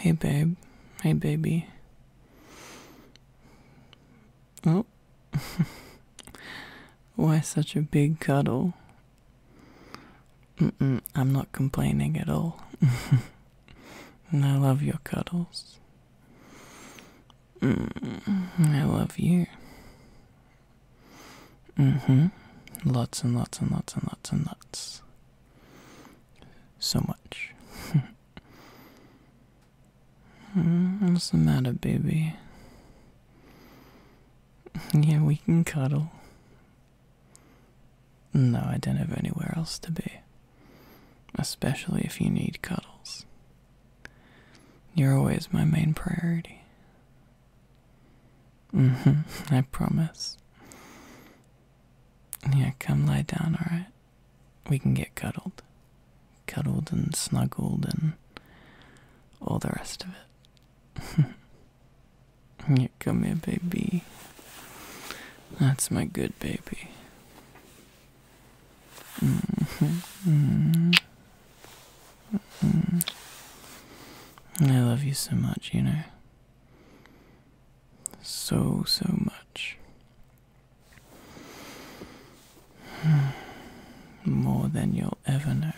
Hey, babe. Hey, baby. Oh. Why such a big cuddle? Mm -mm, I'm not complaining at all. and I love your cuddles. Mm, I love you. Mm hmm. Lots and lots and lots and lots and lots so much. Hmm, what's the matter, baby? Yeah, we can cuddle. No, I don't have anywhere else to be. Especially if you need cuddles. You're always my main priority. Mm hmm, I promise. Yeah, come lie down, alright? We can get cuddled. Cuddled and snuggled and all the rest of it. yeah, come here, baby. That's my good baby. Mm -hmm. -hmm. I love you so much, you know. So, so much. Hmm. More than you'll ever know.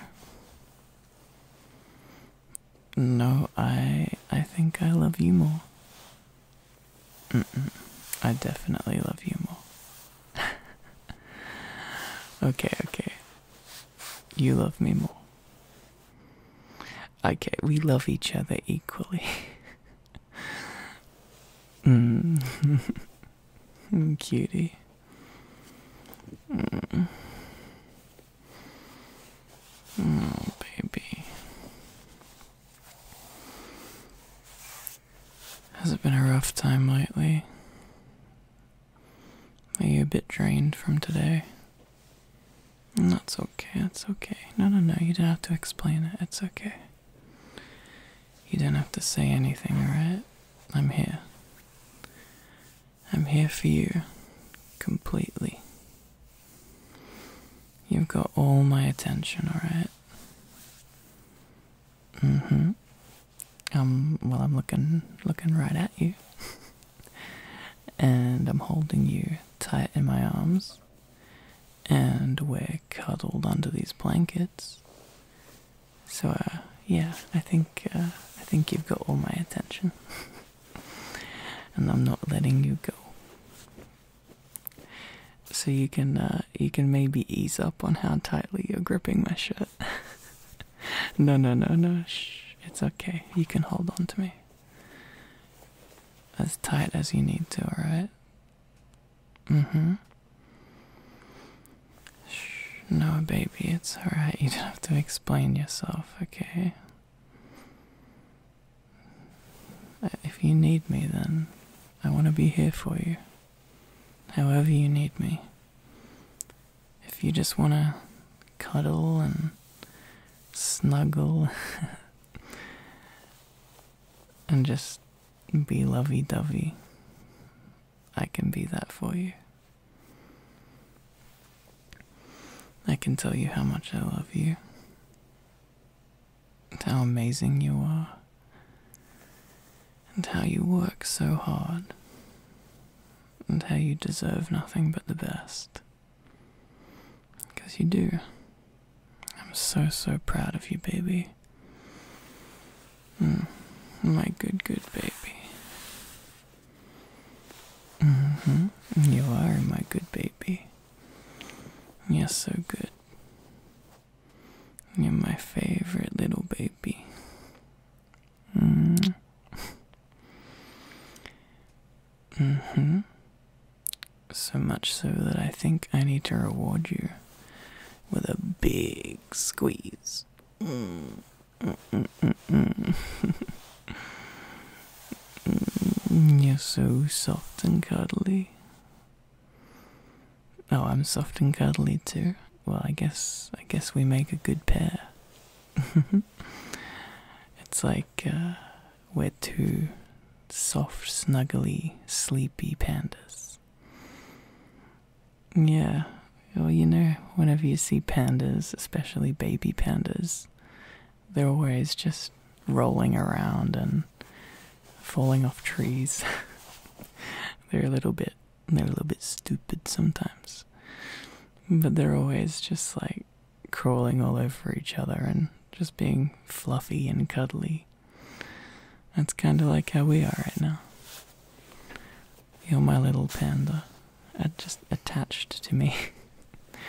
No, I I think I love you more. Mm -mm, I definitely love you more. okay, okay. You love me more. Okay, we love each other equally. Hmm. Cutie. Mm. Oh, baby. Has it been a rough time lately? Are you a bit drained from today? That's okay, That's okay. No, no, no, you do not have to explain it. It's okay. You do not have to say anything, alright? I'm here. I'm here for you. Completely. You've got all my attention, alright? Mm-hmm. Um, well I'm looking looking right at you. and I'm holding you tight in my arms, and we're cuddled under these blankets. So, uh, yeah, I think uh, I think you've got all my attention, and I'm not letting you go. So you can uh, you can maybe ease up on how tightly you're gripping my shirt. no, no, no, no. Shh, it's okay. You can hold on to me as tight as you need to, alright? Mm hmm. Shh, no, baby, it's alright. You don't have to explain yourself, okay? Uh, if you need me, then I want to be here for you. However, you need me if you just want to cuddle and snuggle and just be lovey dovey, I can be that for you. I can tell you how much I love you, and how amazing you are, and how you work so hard, and how you deserve nothing but the best. Because you do. I'm so, so proud of you, baby. Mm. my good, good baby. Mm-hmm. You are my good baby. You're so good. You're my favorite little baby. Mm. mm hmm So much so that I think I need to reward you with a big squeeze. Mm. You're so soft and cuddly. Oh, I'm soft and cuddly too. Well, I guess I guess we make a good pair. it's like uh, we're two soft, snuggly, sleepy pandas. Yeah, well, you know, whenever you see pandas, especially baby pandas, they're always just rolling around and falling off trees. they're a little bit, they're a little bit stupid sometimes, but they're always just like crawling all over each other and just being fluffy and cuddly. That's kind of like how we are right now. You're my little panda, uh, just attached to me.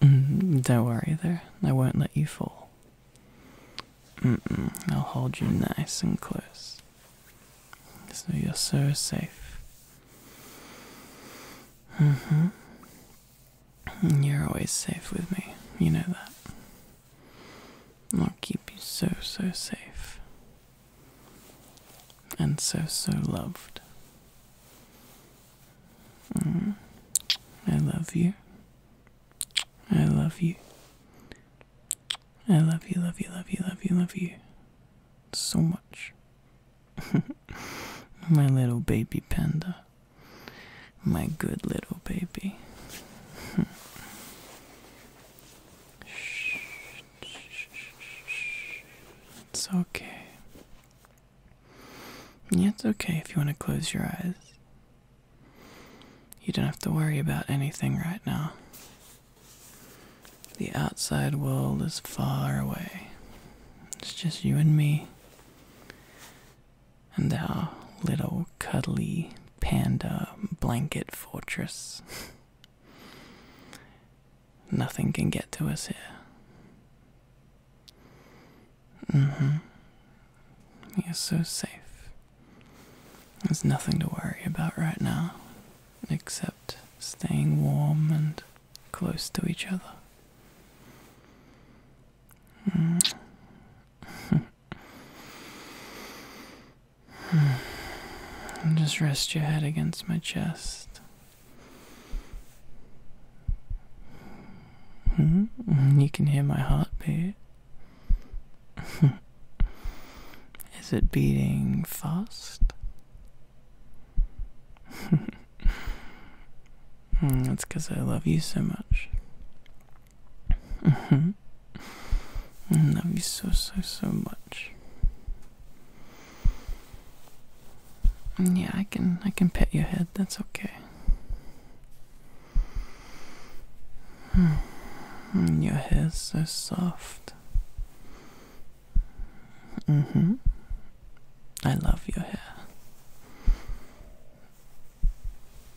Mm, don't worry, there. I won't let you fall. I'll hold you nice and close. So you're so safe. Mm hmm. You're always safe with me. You know that. I'll keep you so, so safe. And so, so loved. Mm. I love you. I love you. I love you, love you, love you, love you, love you. So much. my little baby panda. My good little baby. It's okay. Yeah, it's okay if you want to close your eyes. You don't have to worry about anything right now. The outside world is far away. It's just you and me. And our little cuddly panda blanket fortress. Nothing can get to us here. Mm hmm. You're so safe. There's nothing to worry about right now except staying warm and close to each other. Mm. Just rest your head against my chest. Mm-hmm. You can hear my heartbeat. Is it beating fast? Hmm, that's because I love you so much. I love you so, so, so much. Yeah, I can, I can pet your head. That's okay. Your hair's so soft. Mm hmm. I love your hair.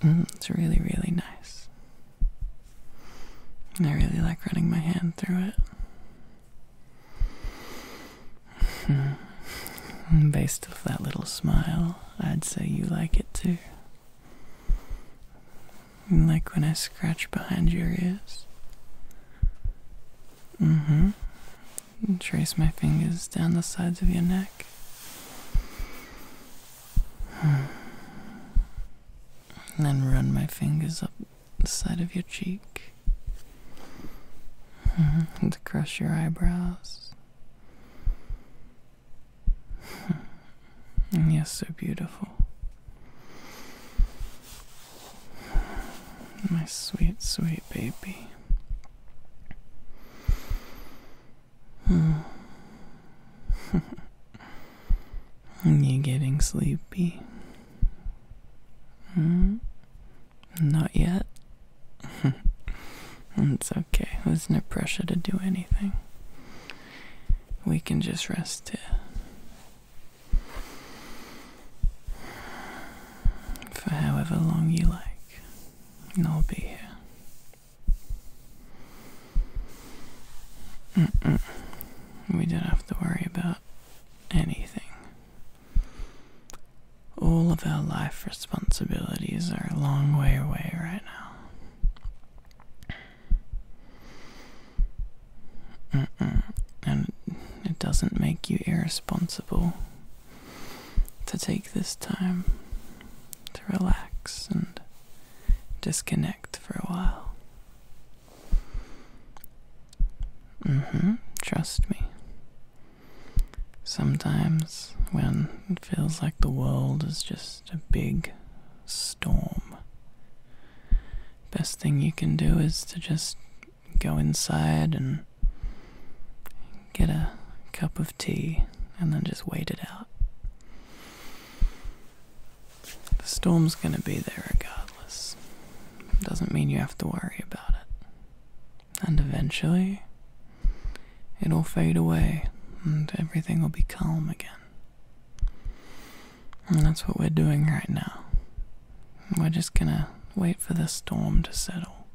Mm, it's really, really nice. and I really like running my hand through it. Hmm. Based off that little smile, I'd say you like it too. Like when I scratch behind your ears, Mm-hmm. Trace my fingers down the sides of your neck. Hmm. And then run my fingers up the side of your cheek. Mm-hmm. and -hmm. crush your eyebrows. Hmm. Yes, so beautiful. My sweet, sweet baby. Hmm. Are you getting sleepy? Mm? Not yet. it's okay. There's no pressure to do anything. We can just rest here for however long you like, and I'll be here. We don't have to worry about anything. All of our life responsibilities are a long way away right now. And it doesn't make you irresponsible to take this time to relax and disconnect for a while. Mm-hmm. trust me. Sometimes when it feels like the world is just a big storm, best thing you can do is to just go inside and get a cup of tea and then just wait it out. The storm's going to be there regardless. Doesn't mean you have to worry about it. And eventually, it'll fade away and everything will be calm again that's what we're doing right now. We're just gonna wait for the storm to settle.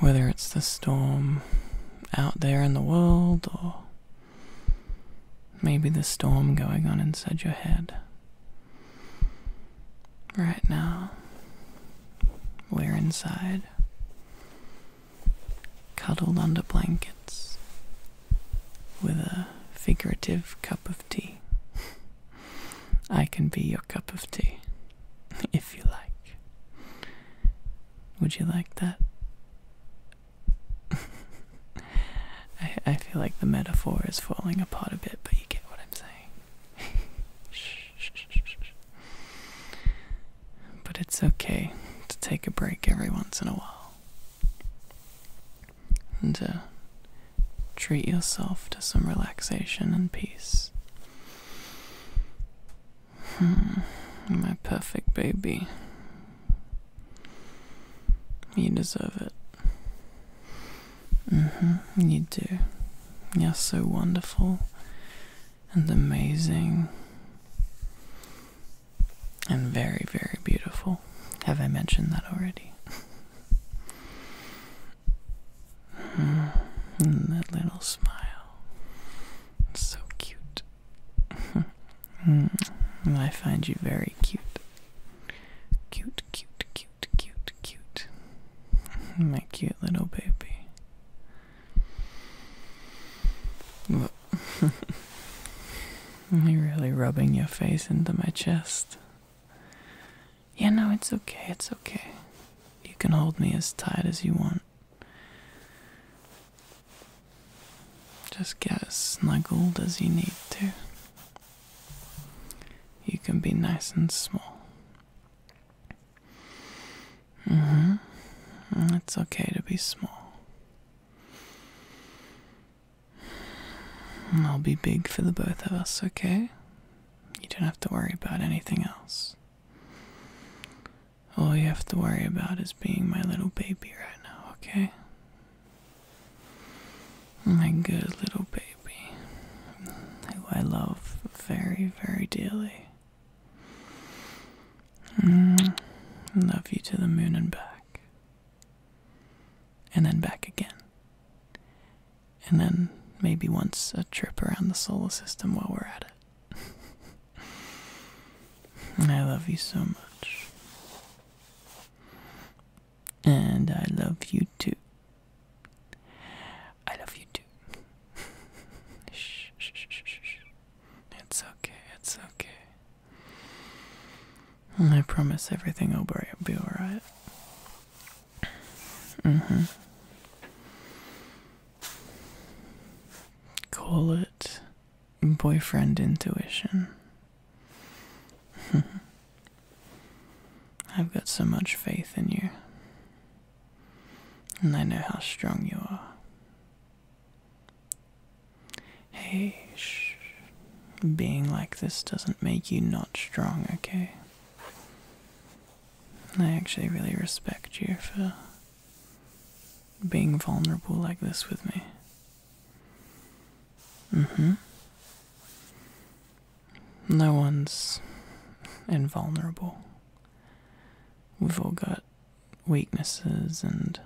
Whether it's the storm out there in the world or maybe the storm going on inside your head. Right now, we're inside, cuddled under blankets, with a figurative cup of tea. I can be your cup of tea, if you like. Would you like that? I, I feel like the metaphor is falling apart a bit, but you get what I'm saying. shh, shh, shh, But it's okay to take a break every once in a while and to treat yourself to some relaxation and peace. Hmm, my perfect baby. You deserve it. Mhm, you do. You're so wonderful and amazing and very, very beautiful. Have I mentioned that already? Hmm. that little smile. so cute. Hmm. I find you very cute. Cute, cute, cute, cute, cute. My cute little baby. you really rubbing your face into my chest. Yeah, no, it's okay, it's okay. You can hold me as tight as you want. Just get as snuggled as you need to. You can be nice and small. hmm. It's okay to be small. I'll be big for the both of us, okay? You don't have to worry about anything else. All you have to worry about is being my little baby right now, okay? My good little baby, who I love very, very dearly. Mm, love you to the moon and back and then back again. And then maybe once a trip around the solar system while we're at it. I love you so much. And I love you too. I love you too. shh, shh, shh, shh, shh. It's okay, it's okay. I promise everything will be alright. Mm hmm. Call it boyfriend intuition. I've got so much faith in you, and I know how strong you are. Hey, shh. Being like this doesn't make you not strong, okay? I actually really respect you for being vulnerable like this with me. Mm hmm. No one's invulnerable. We've all got weaknesses and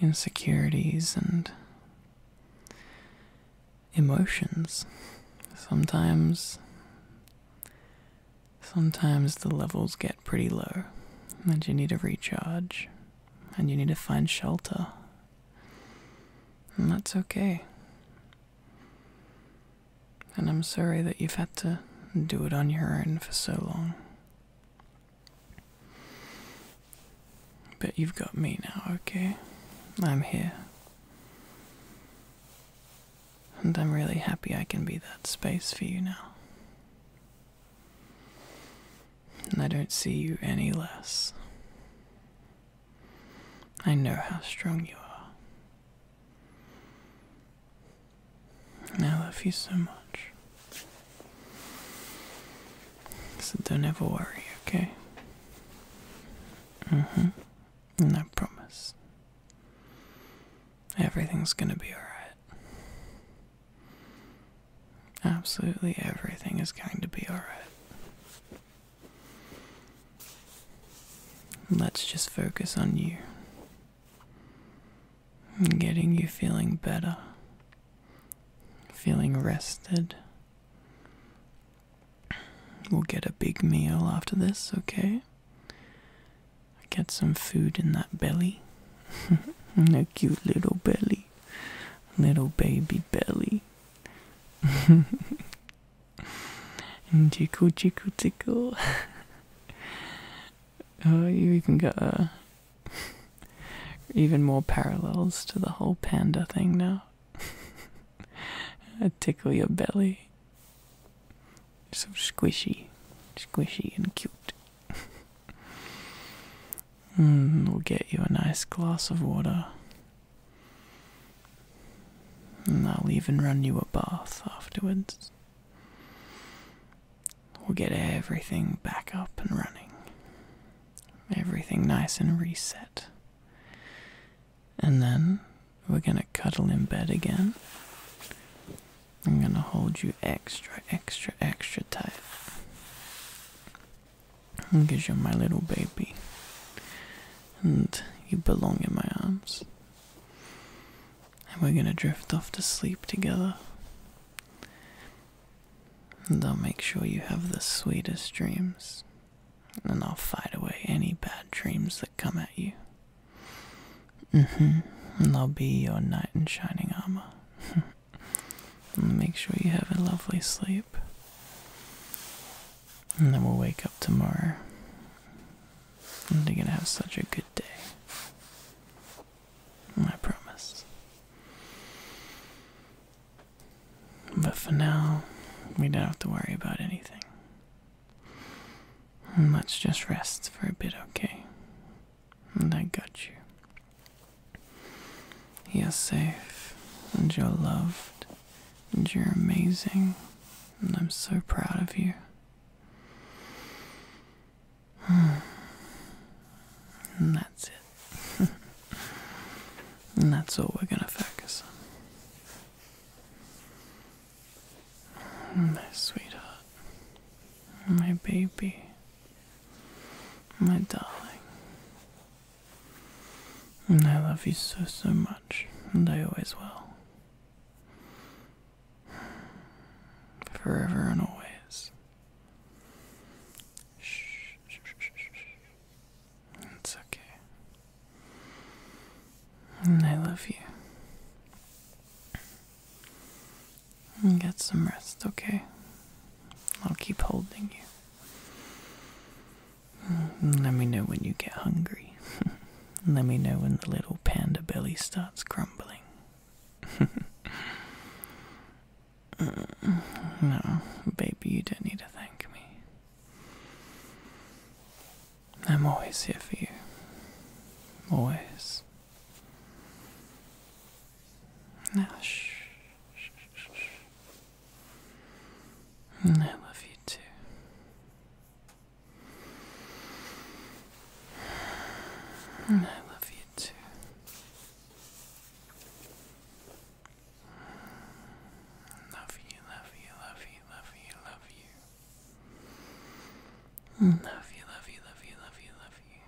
insecurities and emotions. Sometimes sometimes the levels get pretty low and you need to recharge and you need to find shelter. And that's okay. And I'm sorry that you've had to do it on your own for so long. But you've got me now, okay? I'm here. And I'm really happy I can be that space for you now. And I don't see you any less. I know how strong you are. And I love you so much. So don't ever worry, okay? Mm-hmm. And I promise. Everything's gonna be alright. Absolutely everything is going to be alright. Let's just focus on you getting you feeling better, feeling rested. We'll get a big meal after this, okay? Get some food in that belly. a cute little belly. Little baby belly. and tickle, tickle, tickle. oh, you even got a, Even more parallels to the whole panda thing now. Tickle your belly. So squishy, squishy and cute. mm, we'll get you a nice glass of water. And I'll even run you a bath afterwards. We'll get everything back up and running. Everything nice and reset. And then we're gonna cuddle in bed again. I'm gonna hold you extra, extra, extra tight. Because you're my little baby. And you belong in my arms. And we're gonna drift off to sleep together. And I'll make sure you have the sweetest dreams, and I'll fight away any bad dreams that come at you. Mm-hmm. And I'll be your knight in shining armor. and make sure you have a lovely sleep. And then we'll wake up tomorrow. And we are gonna have such a good day. I promise. But for now, we don't have to worry about anything. Let's just rest for a bit, okay? And I got you. You're safe, and you're loved, and you're amazing, and I'm so proud of you. And that's it. and that's all we're gonna focus on. My sweetheart. My baby. My darling. And I love you so, so much. And I always will. Forever and always. It's okay. I love you. And get some rest, okay? I'll keep holding you. let me know when you get hungry. Let me know when the little panda belly starts crumbling. no, baby, you don't need to thank me. I'm always here for you. Always. Now, shh. I love you too. I love you too. Love you, love you, love you, love you, love you. Love you, love you, love you, love you,